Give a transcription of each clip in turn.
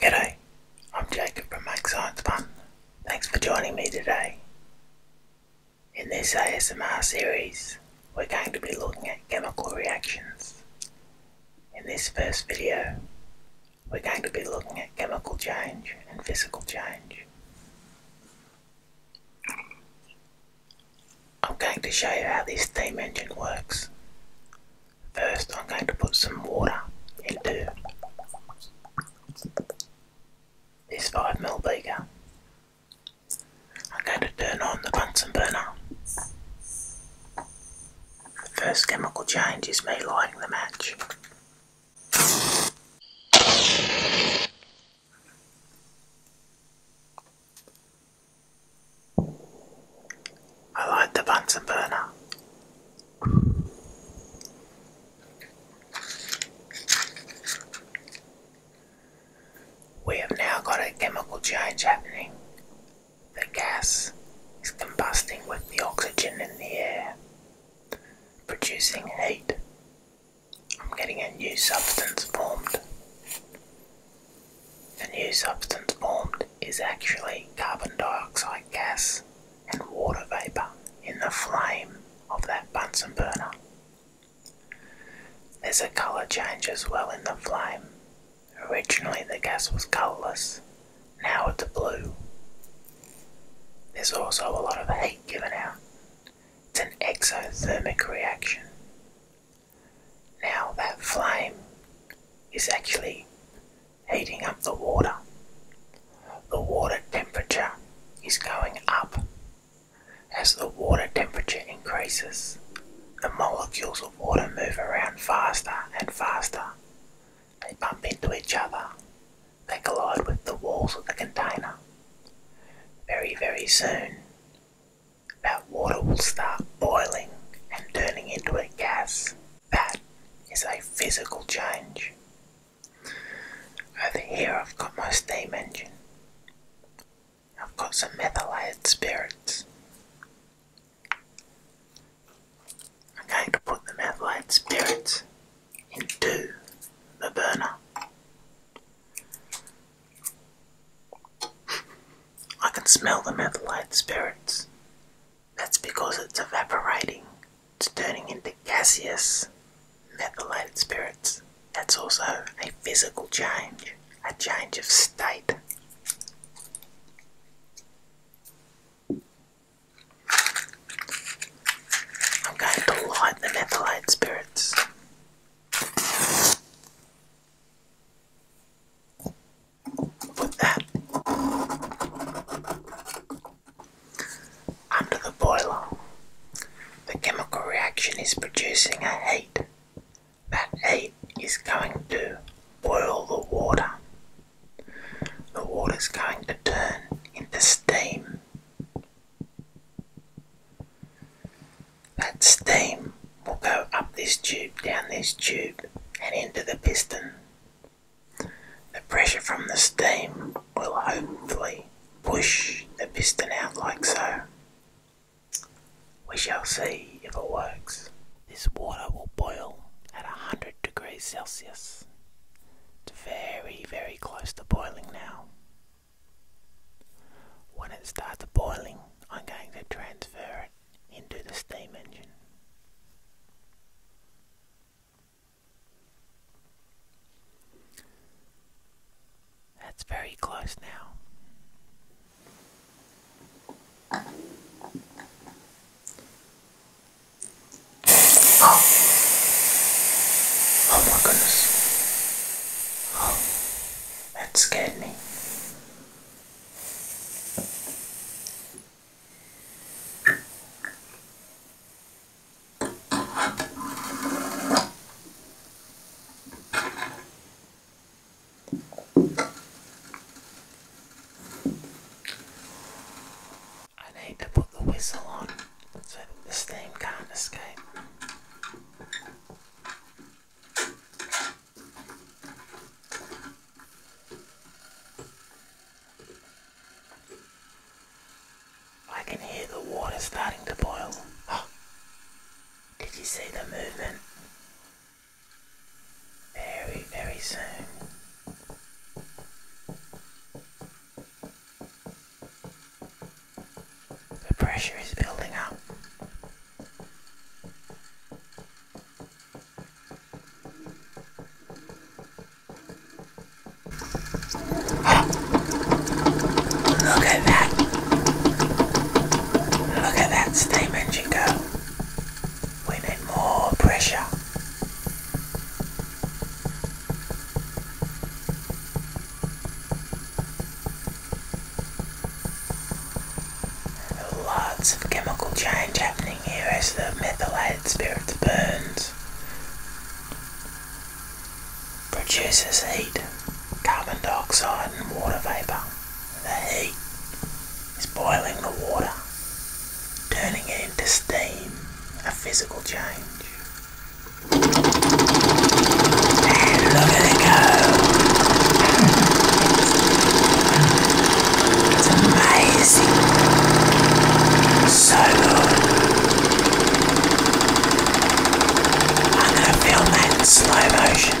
G'day, I'm Jacob from Make Science Fun. Thanks for joining me today. In this ASMR series, we're going to be looking at chemical reactions. In this first video, we're going to be looking at chemical change and physical change. I'm going to show you how this steam engine works. First I'm going to put some water into this 5ml beaker. I'm going to turn on the Bunsen burner. The first chemical change is me lighting the match. I like the Bunsen burner. We have now got a chemical change happening. The gas is combusting with the oxygen in the air, producing heat. I'm getting a new substance formed. The new substance formed is actually carbon dioxide gas and water vapour in the flame of that Bunsen burner. There's a colour change as well in the flame. Originally the gas was colourless, now it's blue. There's also a lot of heat given out. It's an exothermic reaction. Now that flame is actually heating up the water. The water temperature is going up. As the water temperature increases, the molecules of water move around faster and faster. They bump into each other. They collide with the walls of the container. Very, very soon, that water will start boiling and turning into a gas. That is a physical change. Over here, I've got my steam engine. I've got some methylated spirits. I'm going to put the methylated spirits into the burner. I can smell the methylated spirits. That's because it's evaporating. It's turning into gaseous methylated spirits. That's also a physical change, a change of state. I'm going to light the methylated spirits under the boiler, the chemical reaction is producing a heat. That heat is going to boil the water. The water is going to turn into steam that steam will go up this tube, down this tube, and into the piston. The pressure from the steam will hopefully push the piston out like so. We shall see if it works. This water will boil at 100 degrees Celsius. It's very, very close to boiling now. When it starts boiling, I'm going to transfer it into the steam engine. That's very close now. Oh. oh my goodness. Oh, that scared me. I need to put the whistle on so that the steam can't escape. I can hear the water starting to boil. Oh, did you see the movement? Very, very soon. The pressure is building up. look at that! Look at that steam engine go. We need more pressure. Lots of chemical change happening here as the methylated spirit burns. Produces heat, carbon dioxide and water vapour. The heat is boiling the water turning it into steam, a physical change. look at it go! It's amazing. So good. I'm gonna film that in slow motion.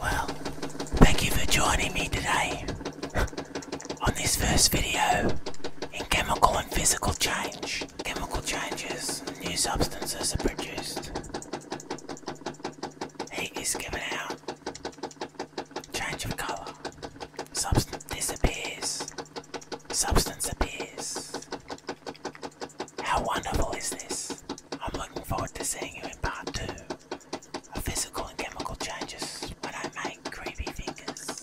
Well, thank you for joining me today on this first video in chemical and physical change. Chemical changes, new substances are produced. Heat is given out. Change of colour. Substance disappears. Substance appears. How wonderful is this? I'm looking forward to seeing you in part two. Physical and chemical changes when I make creepy fingers.